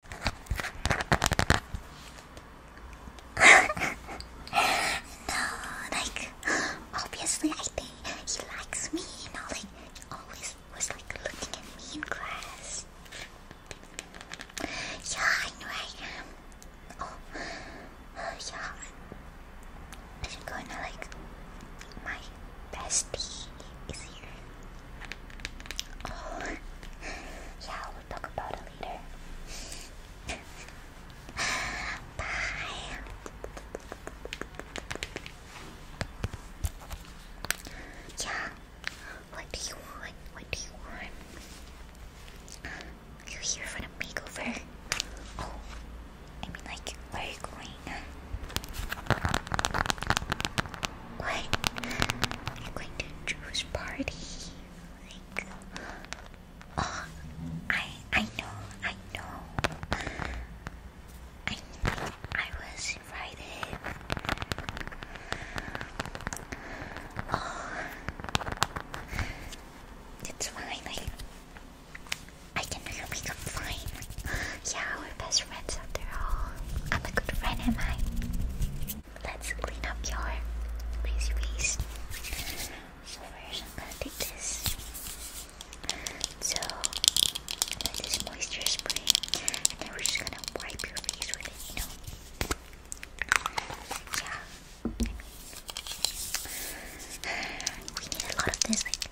no, like obviously I think he likes me, And all like he always was like looking at me in class. Yeah, I know I am. Oh, oh yeah. I should go now, like, my bestie is here yeah, we'll talk about it later. Bye. Yeah, what do you want? What do you want? you here for the makeover? Oh, I mean, like, where are you going? What? I'm going to Drew's party. Like, oh, I I know, I know. I I was invited. Oh, it's fine. I I can make up fine. Yeah, we're best friends after all. I'm a good friend, am I? Let's clean up your lazy face. So first, I'm gonna take this. So this moisture spray, and then we're just gonna wipe your face with it. You know? Yeah. we need a lot of this. Like,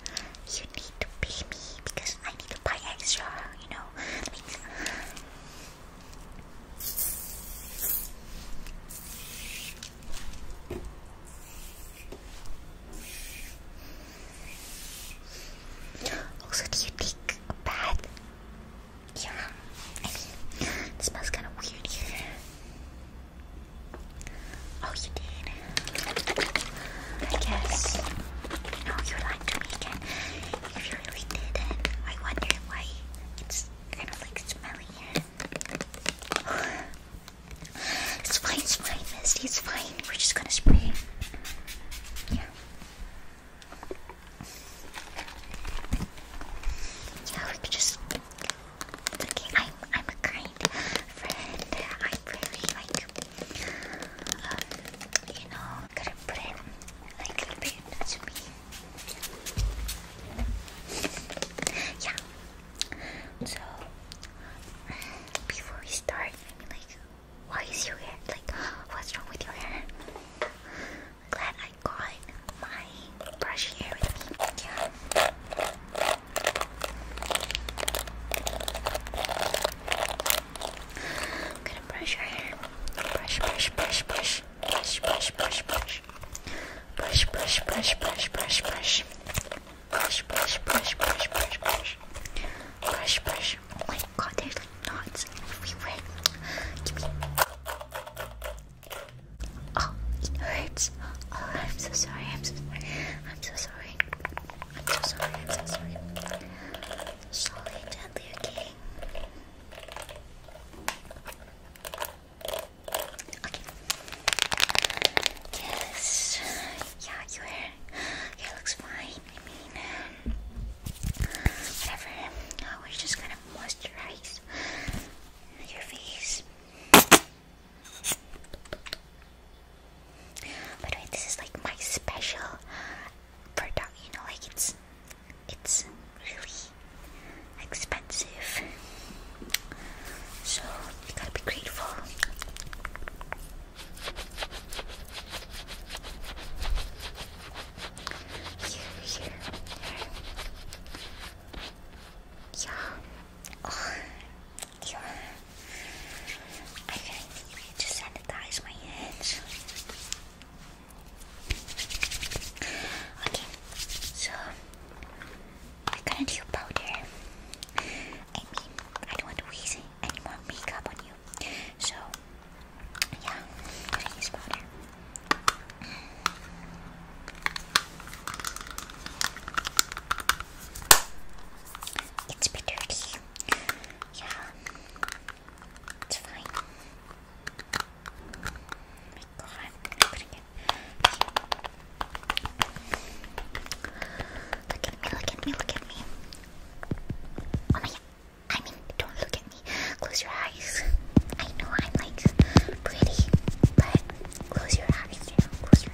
you need to pay me because I need to buy extra. You know, also, do you take a bath? Yeah, it smells kind of weird here. Oh, you did. I guess oh, you know you to me again sure we did it. I wonder why it's kind of like smelly it's fine, it's fine, Misty, it's fine. We're just gonna spray. Yeah. Yeah, we could just. Okay, I'm I'm a kind friend. I really like um, you know, gotta put it like a bit to me. Yeah. So before we start, like, why is your hair like? What's wrong with your hair? Glad I got my brush hair with me. Yeah. gonna brush your hair. Brush, brush, brush, brush brush, brush, brush, brush, brush, brush, brush, brush, brush, brush, brush, brush, brush, brush, brush, brush, brush, brush. Oh my God, there's like knots everywhere. Give me. Oh, it hurts. Oh, I'm so sorry. I'm so sorry. I'm so sorry. I'm so sorry. I'm so sorry. Slowly, gently, okay. Okay. Yes. Yeah, your hair, looks fine. I mean, whatever. No, oh, we're just gonna moisturize your face. By the way, this is like my special product. You know, like it's it's really expensive. So you gotta be grateful. Here, here, here. Yeah. yeah. Oh, I just sanitize my hands. Okay, so I'm gonna do powder. I mean, I don't want to waste any more makeup on you. So, yeah, i use powder. It's a bit dirty. Yeah, it's fine. Look at me, look at me, look at me. Oh my god. I mean, don't look at me. Close your eyes. I know I'm like pretty, but close your eyes, close your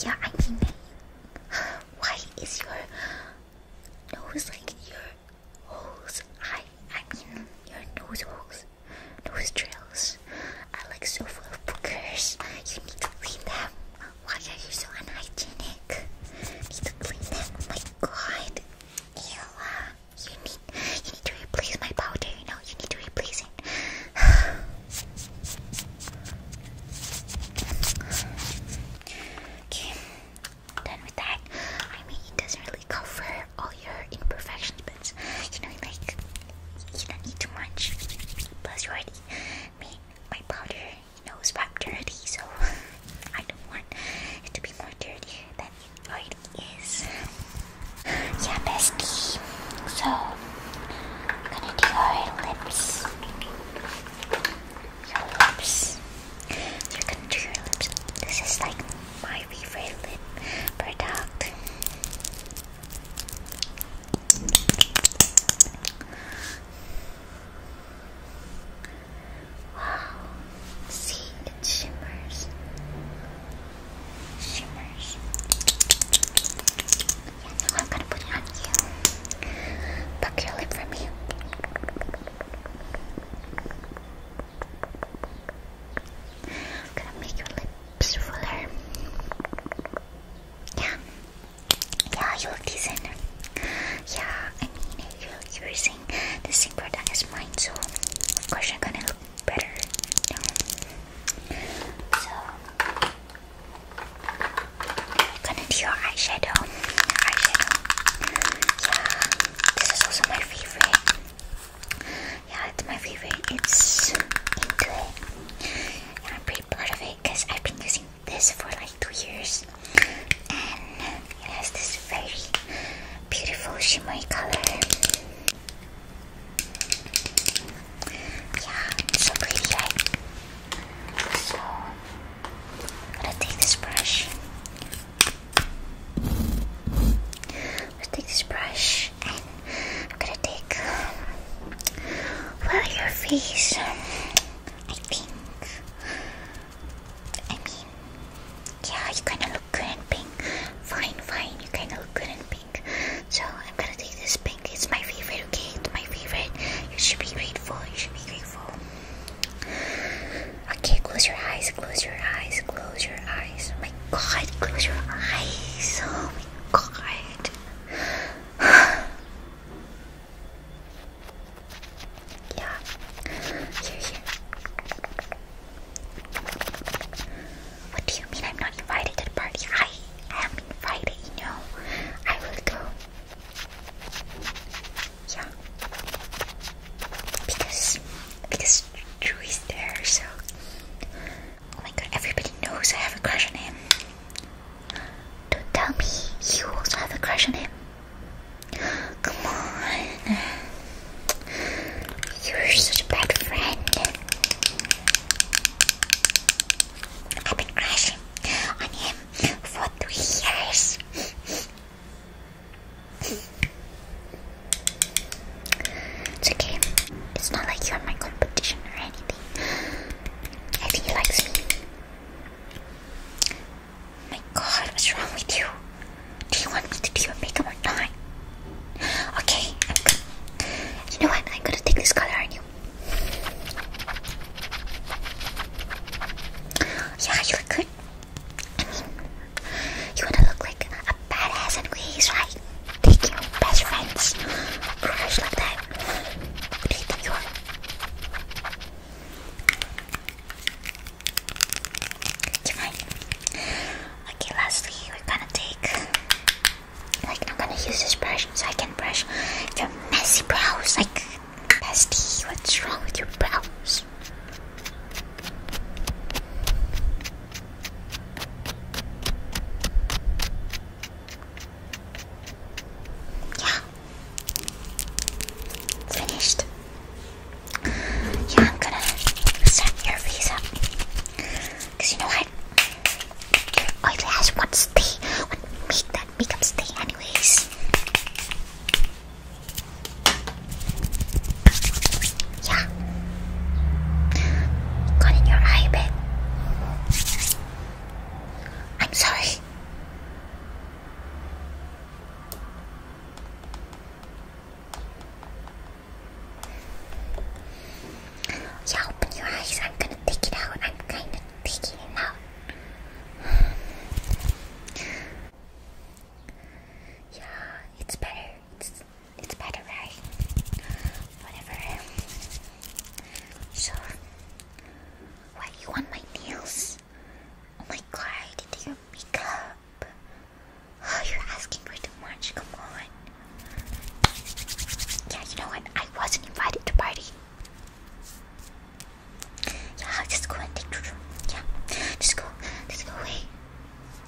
eyes. Yeah, I mean, why is your nose like your holes? I I mean your nose holes, nose trails are like so full of boogers. You need to clean them. Why are you so unhygienic? Need to clean them. my God, ew. You need you need to replace my powder. You know you need to replace it. Okay, i done with that. I mean, it doesn't really cover all your imperfections, but you know, like you don't need too much. Plus, you already made my powder, you know, swept dirty, so I don't want it to be more dirty than it already is. Yeah, bestie. So, I'm gonna do our lips your lips. You're gonna do your lips. This is like my favorite lip product. Wow. See, it shimmers. Shimmers. I'm gonna put it on you. Buck your lip for me. gonna make your lips fuller. Yeah. Yeah, you look decent. Yeah, I mean, you're using the same product as mine, so of course you're gonna look better. So, Gonna your eyeshadow. Yeah, this is also my favorite. Yeah, it's my favorite. It's into it. I'm pretty proud of it because I've been using this for like two years. And it has this very beautiful shimmery color. Yeah, so pretty, so I'm gonna take this brush. I'm take this brush and I'm gonna take well your face. I think. I mean, yeah, you kind of look good in pink. Fine, fine, you kind of look good in pink. So I'm gonna take this pink. It's my favorite you caked my favorite. You should be grateful. You should be grateful. Okay, close your eyes. Close your eyes. Close your eyes. Oh my God, close your eyes. Oh my God. yeah. Here, here. What do you mean I'm not invited to the party? I am invited, you know. I will go. Yeah. Because because Drew is there, so oh my god, everybody knows I have a crush on him. Don't tell me you also have a crush on him. Come on. You're such a bad friend. I've been crashing on him for three years. It's okay. It's not like you're my competition or anything. I think likes me. My god, what's wrong with you? Do you want me to do your makeup or not? Okay, You know what? I'm gonna take this color on you. Yeah, you look good. I mean, you wanna look like a badass and ways, right? Take your best friends, crush like that. What do you think you are? Do you mind? Okay, lastly, we're gonna take. Like, I'm gonna use this brush so I can brush your messy brows. Like, Bestie, what's wrong with your brows? Yeah. Finished. Yeah, I'm gonna set your face Cause you know what? Your oily ass stay, will make that makeup stay anyways. Yeah. Got in your eye, babe. I'm sorry. Yeah, open your eyes. I'm gonna take it out. I'm kinda taking out. yeah, it's better. It's it's better, right? Whatever. So, why you want my nails? Oh my god, your makeup. Oh, you're asking for too much. Come on. Yeah, you know what? I wasn't invited to party. Yeah, just go and take Juju. Yeah, just go, just go away.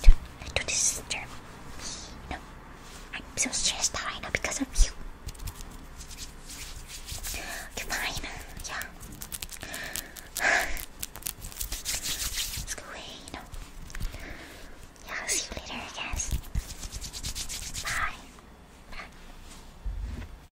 Do, do this disturb No, I'm so stressed out right now because of you. Okay, fine. Yeah. Let's go away, you Yeah, I'll see you later, guess. Bye. Bye.